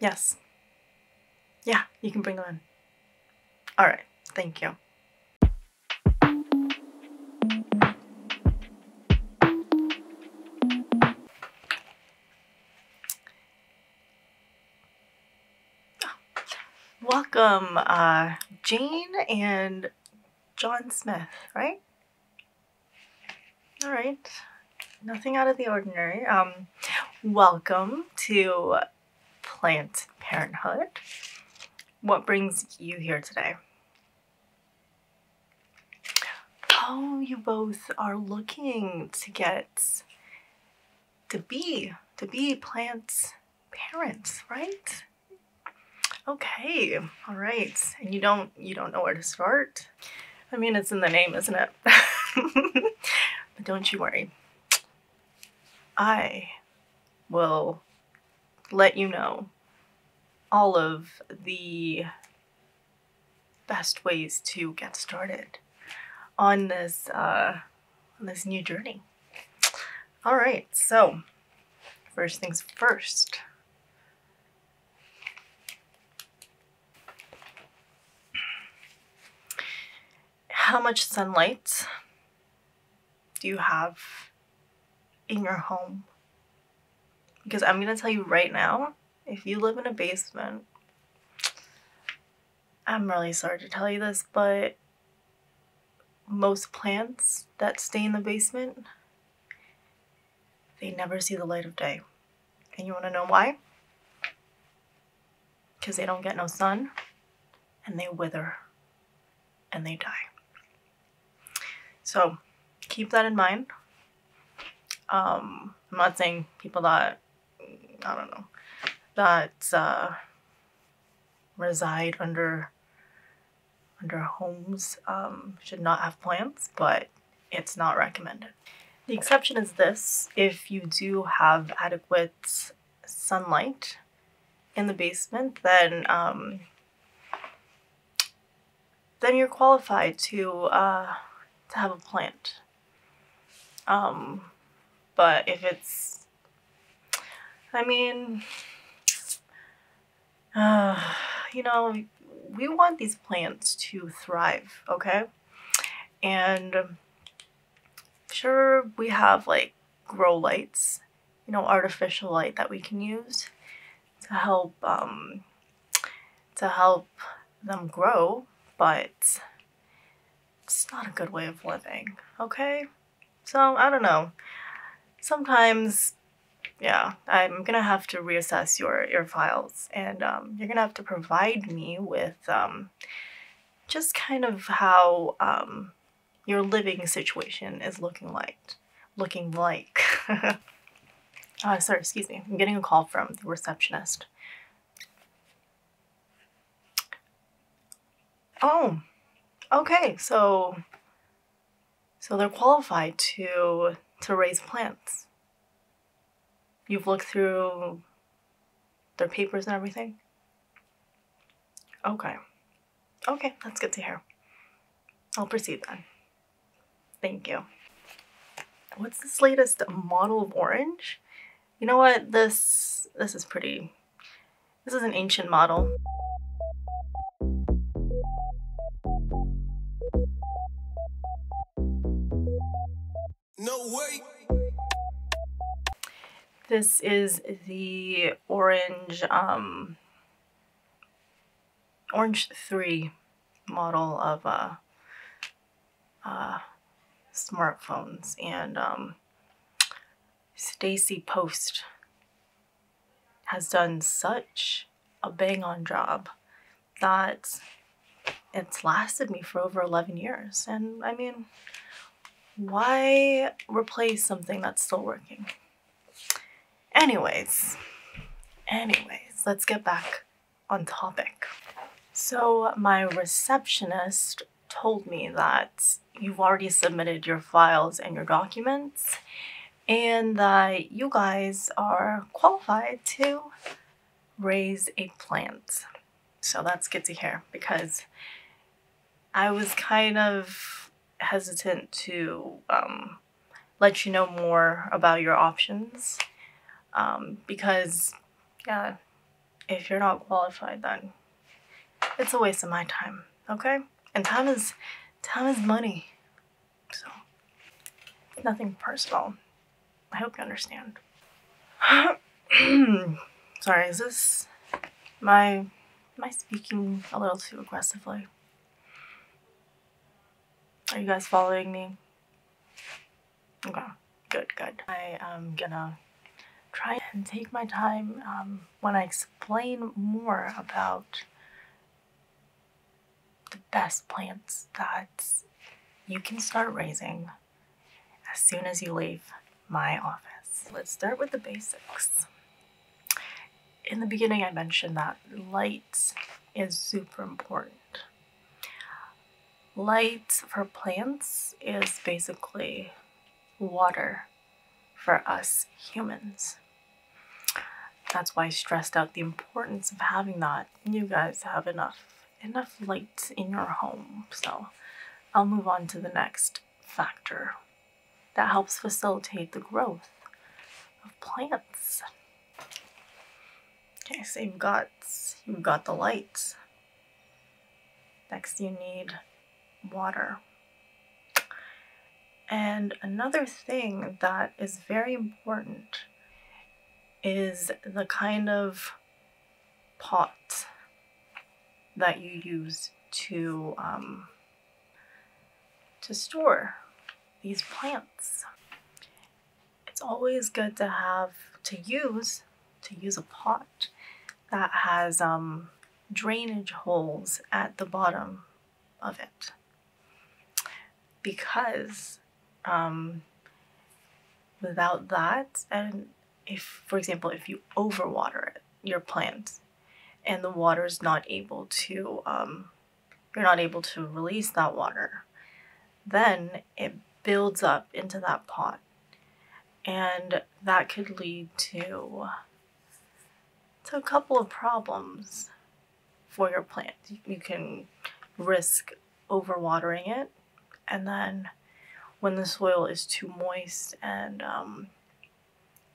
Yes. Yeah, you can bring them in. All right, thank you. Welcome, uh, Jane and John Smith, right? All right, nothing out of the ordinary. Um, welcome to Plant Parenthood. What brings you here today? Oh, you both are looking to get to be to be plants parents, right? Okay, all right. And you don't you don't know where to start? I mean, it's in the name, isn't it? but don't you worry. I will let you know all of the best ways to get started on this uh, on this new journey. All right, so first things first, how much sunlight do you have in your home? Because I'm going to tell you right now, if you live in a basement, I'm really sorry to tell you this, but most plants that stay in the basement they never see the light of day. And you want to know why? Because they don't get no sun and they wither and they die. So keep that in mind. Um, I'm not saying people that, I don't know, that uh, reside under under homes um, should not have plants, but it's not recommended. The exception is this if you do have adequate sunlight in the basement, then um, then you're qualified to uh, to have a plant. Um, but if it's, I mean, you know, we want these plants to thrive, okay? And um, sure, we have like grow lights, you know, artificial light that we can use to help um, to help them grow, but it's not a good way of living, okay? So I don't know. Sometimes yeah, I'm gonna have to reassess your your files, and um, you're gonna have to provide me with um, just kind of how um, your living situation is looking like, looking like. uh, sorry, excuse me. I'm getting a call from the receptionist. Oh, okay. So so they're qualified to, to raise plants. You've looked through their papers and everything? Okay. Okay, that's good to hear. I'll proceed then. Thank you. What's this latest model of orange? You know what? This this is pretty. This is an ancient model. No way! This is the orange, um, orange 3 model of uh, uh, smartphones and um, Stacy Post has done such a bang on job that it's lasted me for over 11 years. And I mean, why replace something that's still working? Anyways, anyways, let's get back on topic. So my receptionist told me that you've already submitted your files and your documents and that you guys are qualified to raise a plant. So that's good to hear because I was kind of hesitant to um, let you know more about your options um, because, yeah, if you're not qualified, then it's a waste of my time, okay? And time is time is money. So, nothing personal. I hope you understand. Sorry, is this my am I speaking a little too aggressively? Are you guys following me? Okay, good, good. I am gonna try and take my time um, when I explain more about the best plants that you can start raising as soon as you leave my office. Let's start with the basics. In the beginning, I mentioned that light is super important. Light for plants is basically water for us humans. That's why I stressed out the importance of having that. You guys have enough enough lights in your home. So I'll move on to the next factor that helps facilitate the growth of plants. Okay, so you've got you've got the lights. Next you need water. And another thing that is very important is the kind of pot that you use to um, to store these plants. It's always good to have to use to use a pot that has um, drainage holes at the bottom of it because um, without that, and if, for example, if you overwater it, your plant, and the water is not able to, um, you're not able to release that water, then it builds up into that pot. And that could lead to, to a couple of problems for your plant. You can risk overwatering it, and then when the soil is too moist and um,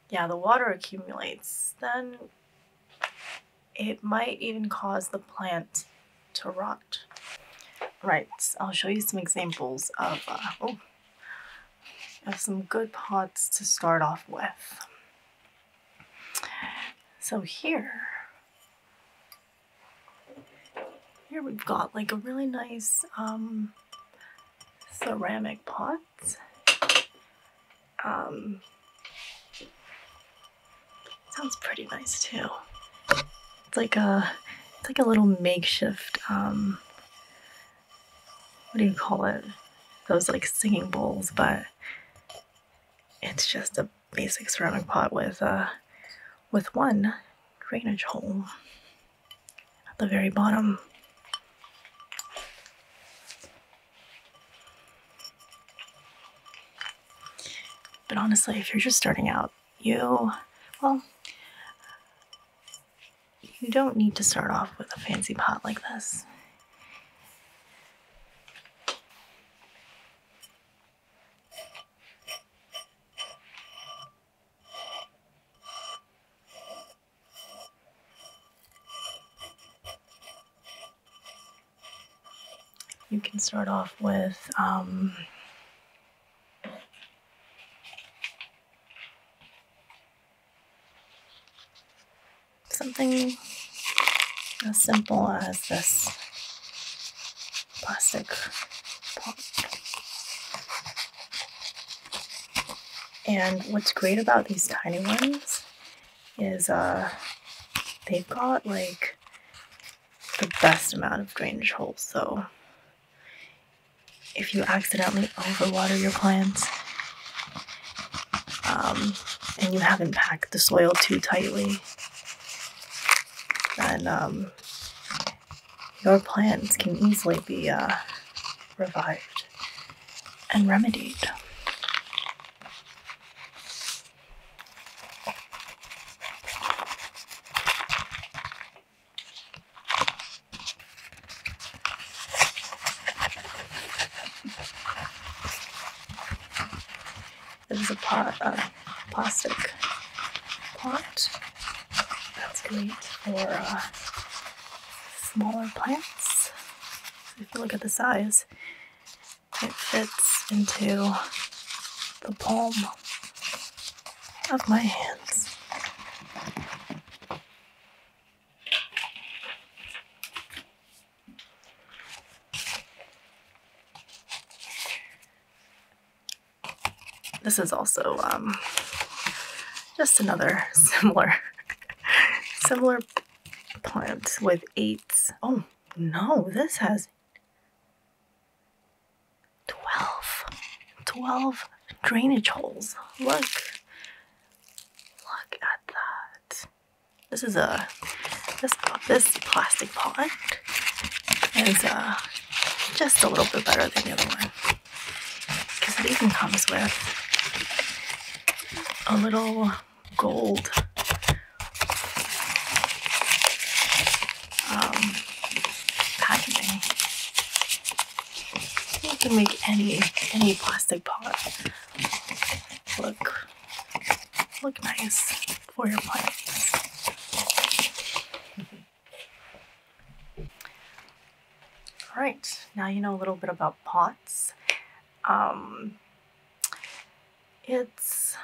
yeah, the water accumulates, then it might even cause the plant to rot. Right, I'll show you some examples of, uh, oh, of some good pots to start off with. So here, here we've got like a really nice um, ceramic pot. Um, sounds pretty nice too. It's like a, it's like a little makeshift, um, what do you call it? Those like singing bowls, but it's just a basic ceramic pot with uh, with one drainage hole at the very bottom. But honestly, if you're just starting out, you, well, you don't need to start off with a fancy pot like this. You can start off with um, something as simple as this plastic pot. And what's great about these tiny ones is uh, they've got like the best amount of drainage holes. So if you accidentally overwater your plants, um, and you haven't packed the soil too tightly, then um, your plants can easily be uh, revived and remedied. It is a pot, uh, plastic pot. That's great for uh, smaller plants. if you look at the size, it fits into the palm of my hands. This is also um, just another similar, similar plant with eight. Oh no, this has 12, 12 drainage holes. Look, look at that. This is a, this, this plastic pot is uh, just a little bit better than the other one. Because it even comes with a little gold um, packaging. You can make any any plastic pot look look nice for your plantings. All right, now you know a little bit about pots. Um, it's,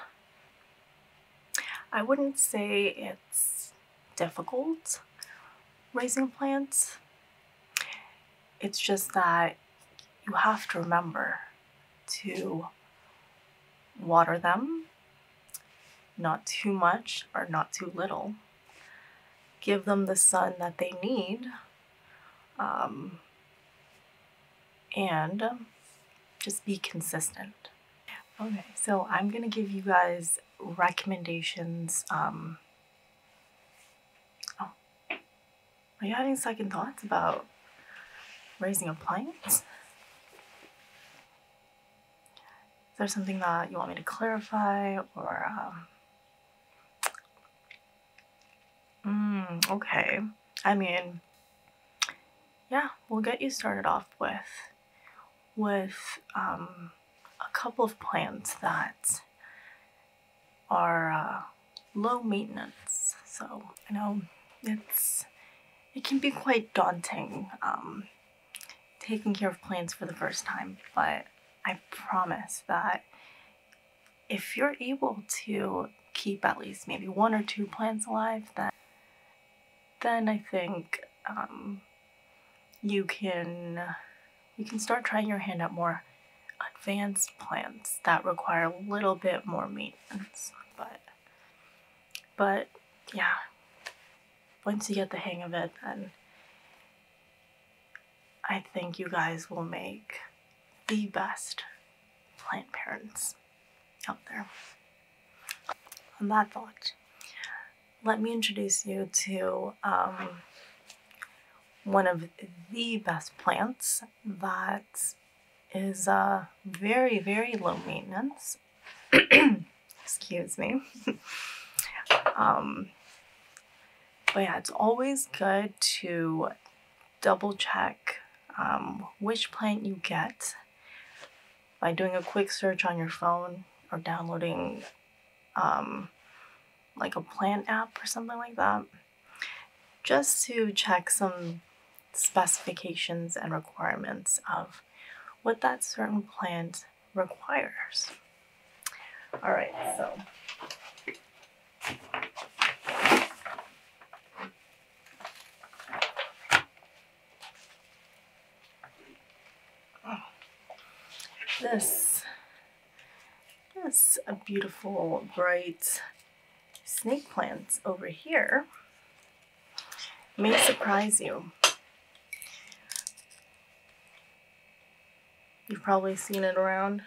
I wouldn't say it's difficult raising plants. It's just that you have to remember to water them, not too much or not too little. Give them the sun that they need, um, and just be consistent. Okay, so I'm gonna give you guys recommendations. Um, oh, are you having second thoughts about raising a plant? Is there something that you want me to clarify or um hmm, okay. I mean yeah, we'll get you started off with with um a couple of plants that are uh, low maintenance. So you know it's it can be quite daunting um, taking care of plants for the first time, but I promise that if you're able to keep at least maybe one or two plants alive, then then I think um, you can you can start trying your hand at more advanced plants that require a little bit more maintenance. But, but yeah, once you get the hang of it, then I think you guys will make the best plant parents out there. On that thought, let me introduce you to um, one of the best plants that is uh, very, very low maintenance. Excuse me. um, but yeah, it's always good to double check um, which plant you get by doing a quick search on your phone or downloading um, like a plant app or something like that just to check some specifications and requirements of what that certain plant requires. All right, so this, is a beautiful, bright snake plants over here may surprise you. You've probably seen it around,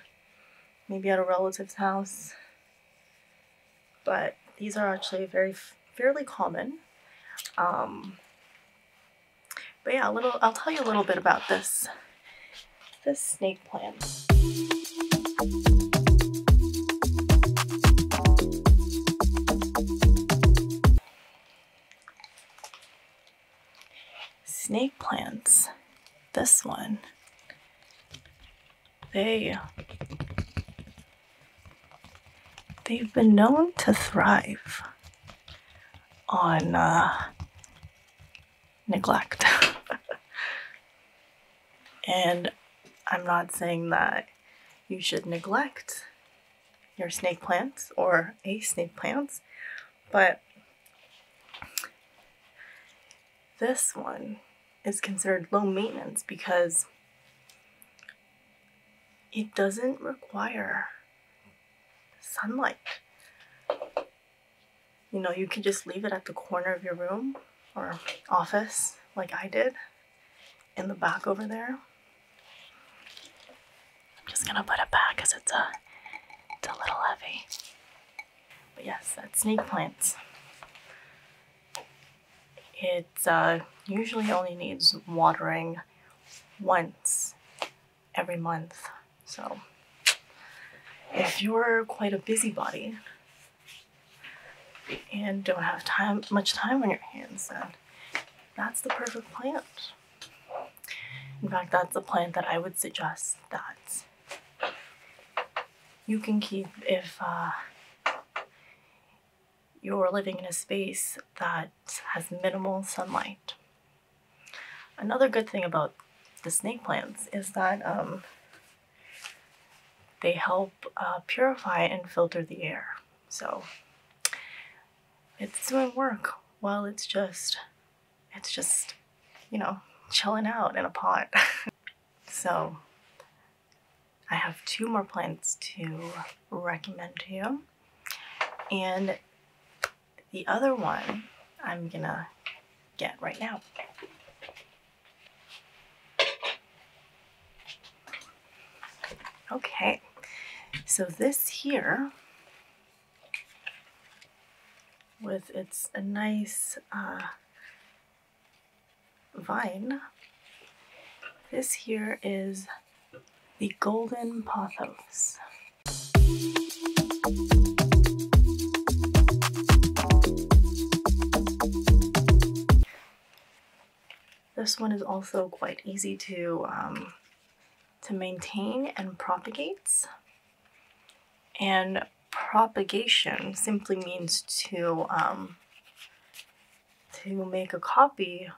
maybe at a relative's house, but these are actually very fairly common. Um, but yeah, a little, I'll tell you a little bit about this, this snake Snake plants, this one, they, they've been known to thrive on uh, neglect. and I'm not saying that you should neglect your snake plants or a snake plants, but this one is considered low maintenance because it doesn't require sunlight you know, you could just leave it at the corner of your room or office, like I did, in the back over there. I'm just gonna put it back because it's a, it's a little heavy. But yes, that's snake plants. It uh, usually only needs watering once every month. So if you're quite a busybody, and don't have much time on your hands then that's the perfect plant in fact that's a plant that i would suggest that you can keep if uh, you're living in a space that has minimal sunlight another good thing about the snake plants is that um, they help uh, purify and filter the air. So it's doing work while it's just, it's just, you know, chilling out in a pot. so I have two more plants to recommend to you. And the other one I'm gonna get right now. Okay, so this here with its nice uh, vine, this here is the golden pothos. This one is also quite easy to, um, to maintain and propagates. And propagation simply means to, um, to make a copy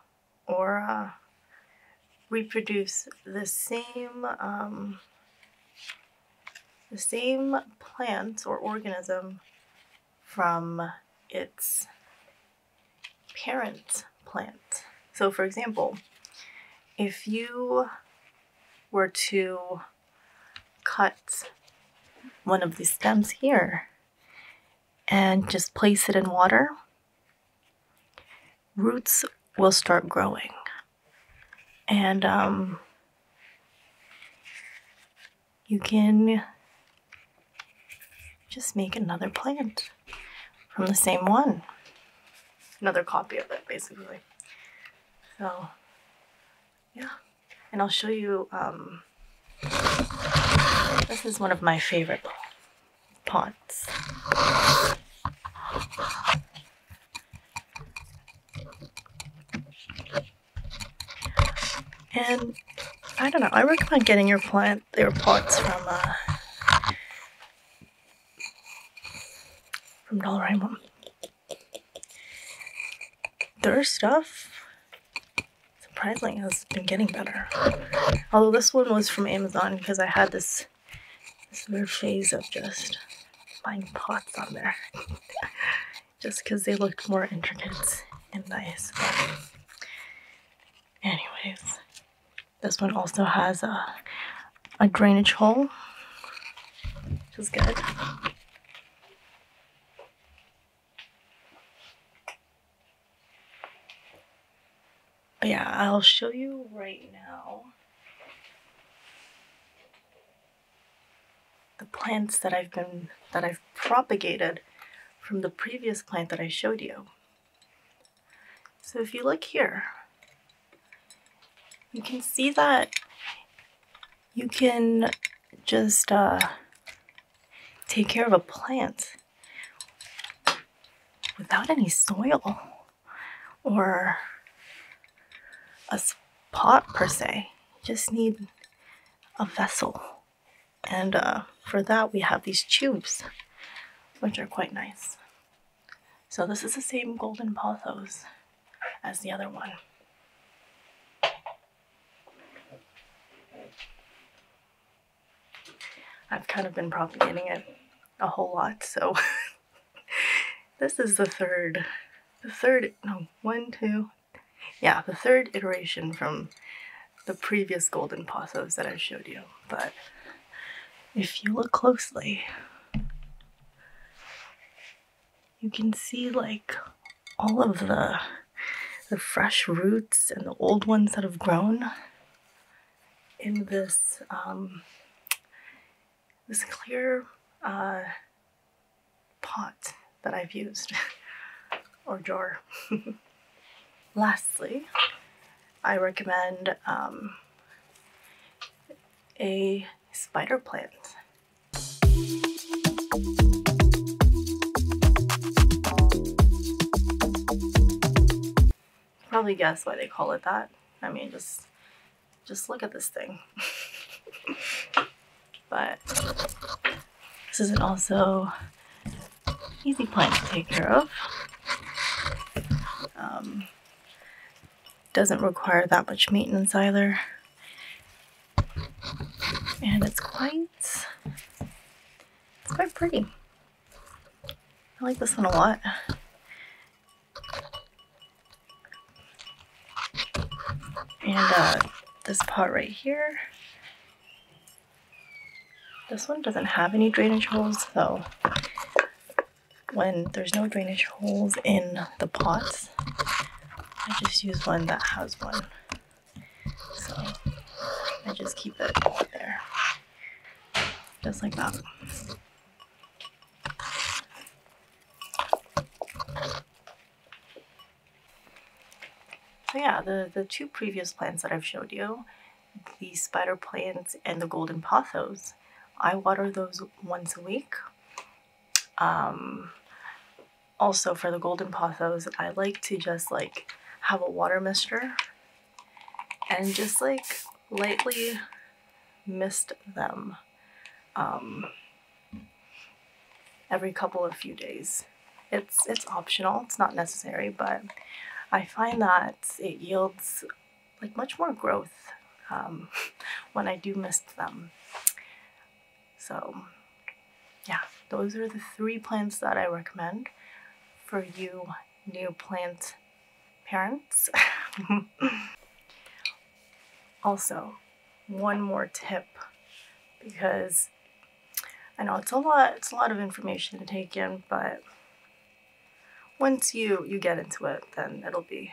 or uh, reproduce the same um, the same plant or organism from its parent plant. So, for example, if you were to cut one of these stems here and just place it in water, roots will start growing. And um, you can just make another plant from the same one. Another copy of it, basically. So, yeah. And I'll show you, um, this is one of my favorite pots. And I don't know, I recommend getting your plant their pots from uh from Dollarama. Their stuff surprisingly has been getting better. Although this one was from Amazon because I had this this weird phase of just buying pots on there. just because they looked more intricate and nice. anyways, this one also has a, a drainage hole, which is good. yeah, I'll show you right now the plants that I've been that I've propagated from the previous plant that I showed you. So if you look here, you can see that you can just uh, take care of a plant without any soil or a spot per se. You just need a vessel. And uh, for that, we have these tubes, which are quite nice. So this is the same golden pothos as the other one. I've kind of been propagating it a whole lot, so this is the third, the third, no, one, two, yeah, the third iteration from the previous golden pothos that I showed you. But if you look closely, you can see like all of the the fresh roots and the old ones that have grown in this um, this clear uh, pot that I've used or jar. Lastly, I recommend um, a spider plant. Probably guess why they call it that. I mean, just just look at this thing. but this is also easy plant to take care of. Um, doesn't require that much maintenance either. And it's quite, it's quite pretty. I like this one a lot. And uh, this pot right here. This one doesn't have any drainage holes, so when there's no drainage holes in the pots, I just use one that has one. So I just keep it there, just like that. So yeah, the, the two previous plants that I've showed you, the spider plants and the golden pothos, I water those once a week. Um, also for the golden pothos, I like to just like have a water mister and just like lightly mist them. Um, every couple of few days. It's it's optional, it's not necessary, but I find that it yields like much more growth um, when I do mist them. So yeah, those are the three plants that I recommend for you new plant parents. also, one more tip because I know it's a lot it's a lot of information to take in but once you you get into it then it'll be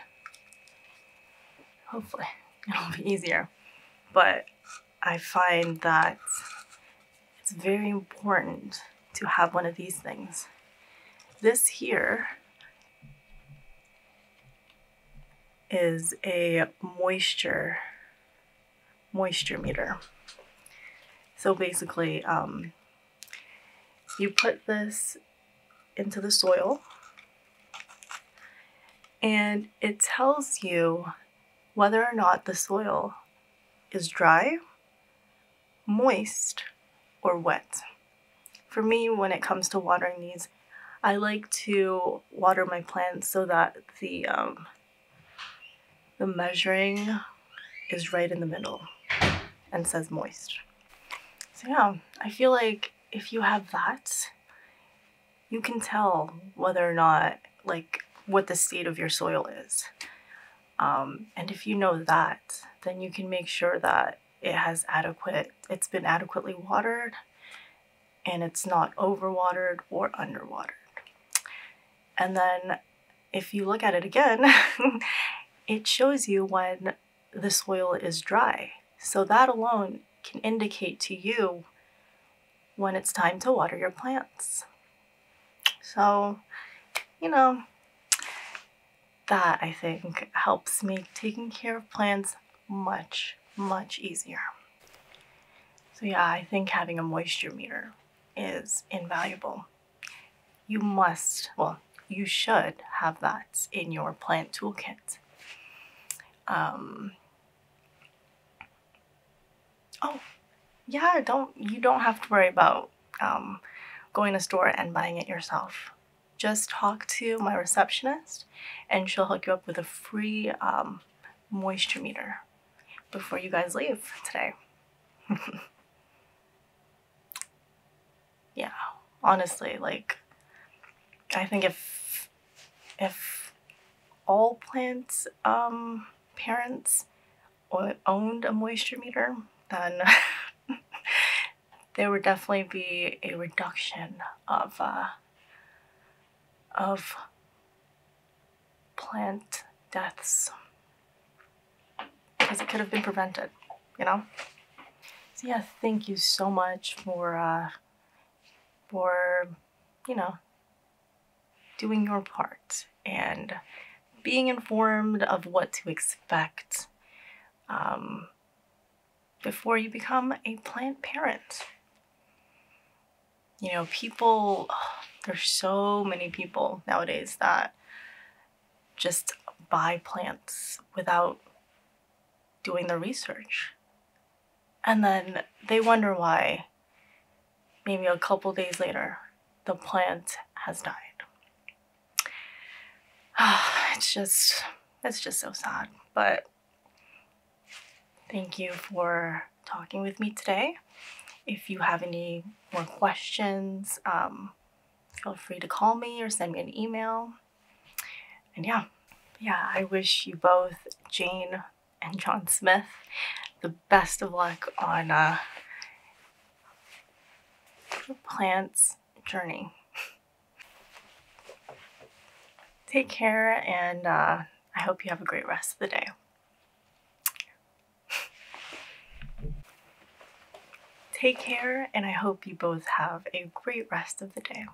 hopefully it'll be easier but I find that it's very important to have one of these things this here is a moisture moisture meter. So basically, um, you put this into the soil and it tells you whether or not the soil is dry, moist, or wet. For me, when it comes to watering these, I like to water my plants so that the um, the measuring is right in the middle and says moist. So yeah, I feel like if you have that, you can tell whether or not like what the state of your soil is. Um, and if you know that, then you can make sure that it has adequate, it's been adequately watered and it's not overwatered or underwatered. And then if you look at it again, it shows you when the soil is dry. So that alone can indicate to you when it's time to water your plants. So, you know, that I think helps make taking care of plants much, much easier. So yeah, I think having a moisture meter is invaluable. You must, well, you should have that in your plant toolkit. Um, oh, yeah, don't you don't have to worry about um, going to store and buying it yourself. Just talk to my receptionist and she'll hook you up with a free um, moisture meter before you guys leave today. yeah, honestly, like I think if if all plants um, parents owned a moisture meter, then there would definitely be a reduction of uh, of plant deaths because it could have been prevented, you know? So yeah, thank you so much for uh, for you know doing your part and being informed of what to expect. Um, before you become a plant parent. You know, people, there's so many people nowadays that just buy plants without doing the research. And then they wonder why, maybe a couple days later, the plant has died. it's just, it's just so sad. But Thank you for talking with me today. If you have any more questions, um, feel free to call me or send me an email. And yeah, yeah, I wish you both, Jane and John Smith, the best of luck on uh, your plant's journey. Take care, and uh, I hope you have a great rest of the day. Take care, and I hope you both have a great rest of the day.